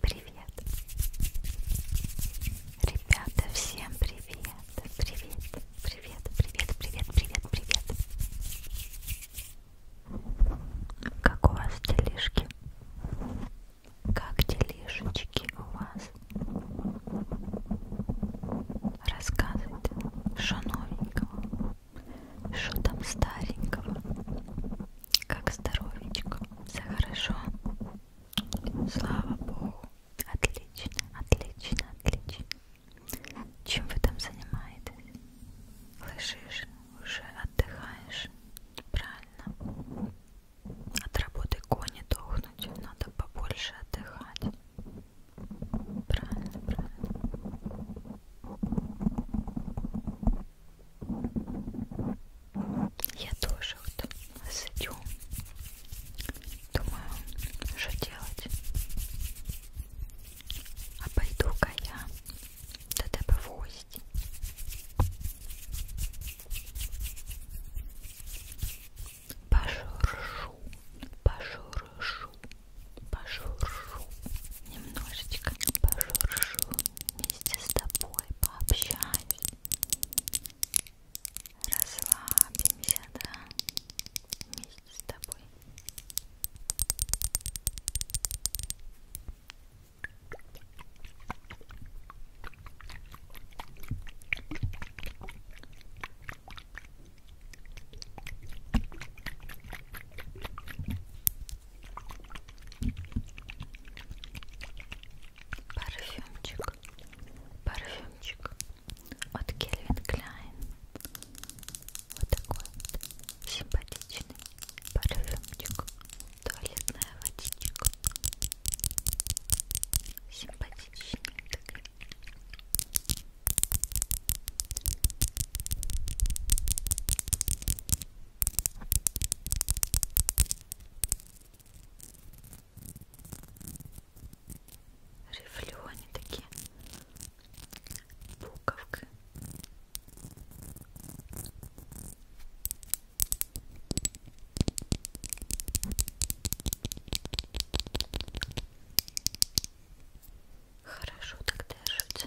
Привет! Ребята, всем привет! Привет! Привет! Привет! Привет! Привет! Привет! Как у вас делишки? Как делишечки у вас? Рассказывайте, что новенького? Что там старенького? Как здоровечко? Все хорошо? Слава Богу! Отлично, отлично, отлично. Чем вы там занимаетесь? Лежишь, уже отдыхаешь? Правильно. От работы кони дохнуть, надо побольше отдыхать. Правильно, правильно. Я тоже вот сидю, думаю, что делать. А пойду-ка я до тебе в гості. Пожуршу, пожуршу, пожуршу, немножечко пожуршу вместе с тобой пообщаюсь. Расслабимся, да, вместе с тобой. Парфюмчик, парфюмчик от Кельвин Кляйн. Вот такой вот симпатичный парфюмчик, туалетная водичка. Симпатичный такой. Рифлю они такие буковка. Хорошо так держится.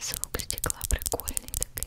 Звук стекла прикольный такой.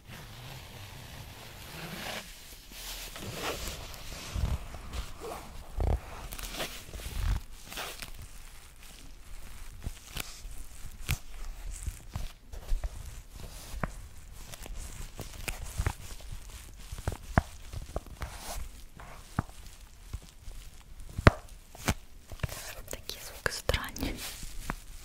Такие звуки странные.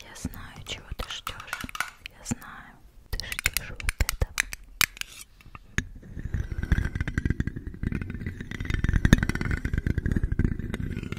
Я знаю, чего ты ждешь. Я знаю, ты ждешь вот этого.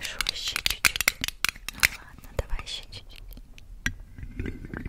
Хорошо, еще чуть-чуть. Ну ладно, давай еще чуть-чуть. Хорошо,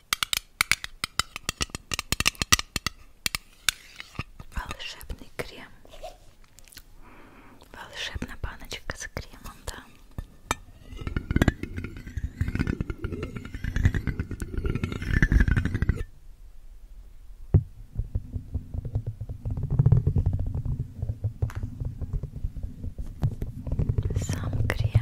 Волшебный крем. Волшебная баночка с кремом, да. Сам крем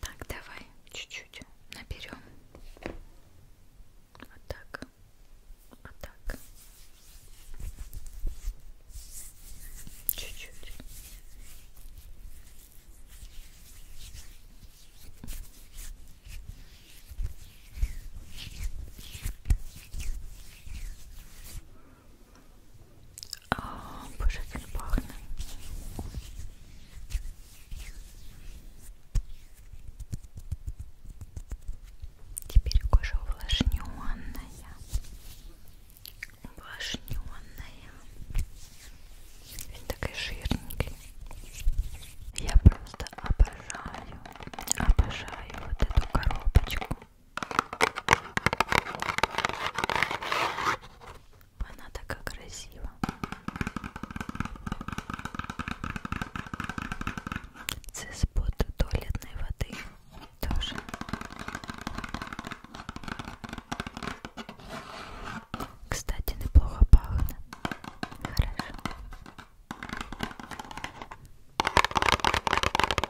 Так, давай чуть-чуть наберем. Вот так. Вот так. Чуть-чуть. О, а, боже, как пахнет. Теперь кожа увлажненная. Увлажненная. Такая жирненькая. Я просто обожаю, обожаю вот эту коробочку. Она такая красива. Цеспот туалетной воды тоже. Кстати, неплохо пахнет. Хорошо.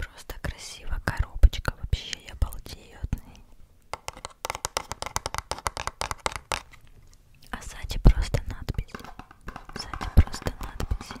Просто красиво коробочка, вообще я балдею от ней. А сзади просто надпись. Сзади просто надпись.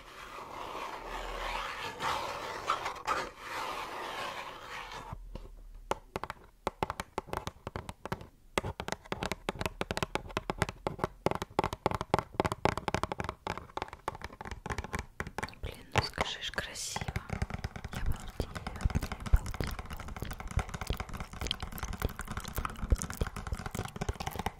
Блин, ну скажи ж красиво. Я балдею, балдею, балдею, балдею, балдею, балдею, балдею, балдею, балдею, балдею, балдею.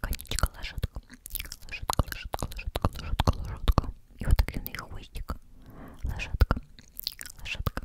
конечка, ложетка, ложетка, ложетка, ложетка, ложетка, ложетка. И вот так длинный хвостик. Ложетка, ложетка, ложетка.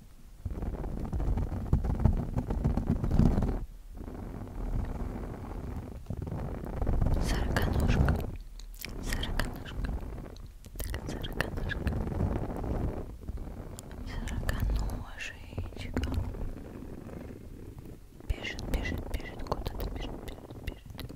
Сороконожка, сороконожка, так сороконожка, сороконожечка. Бежит, бежит, бежит, куда-то бежит, бежит, бежит.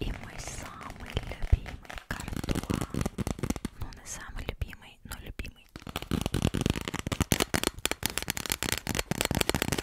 И мой самый любимый картофель, ну не самый любимый, но любимый.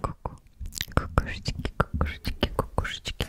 Ку-ку, кукушечки, кукушечки, кукушечки.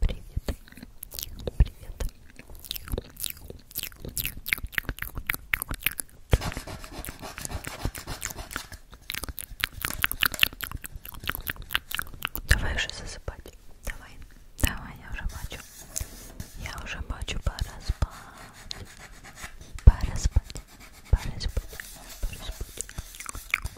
Привет. Привет. Давай уже засыпать. Давай. Давай, я уже бачу. Я уже бачу, пора спать. Пора спать. Пора спать. Пора спать.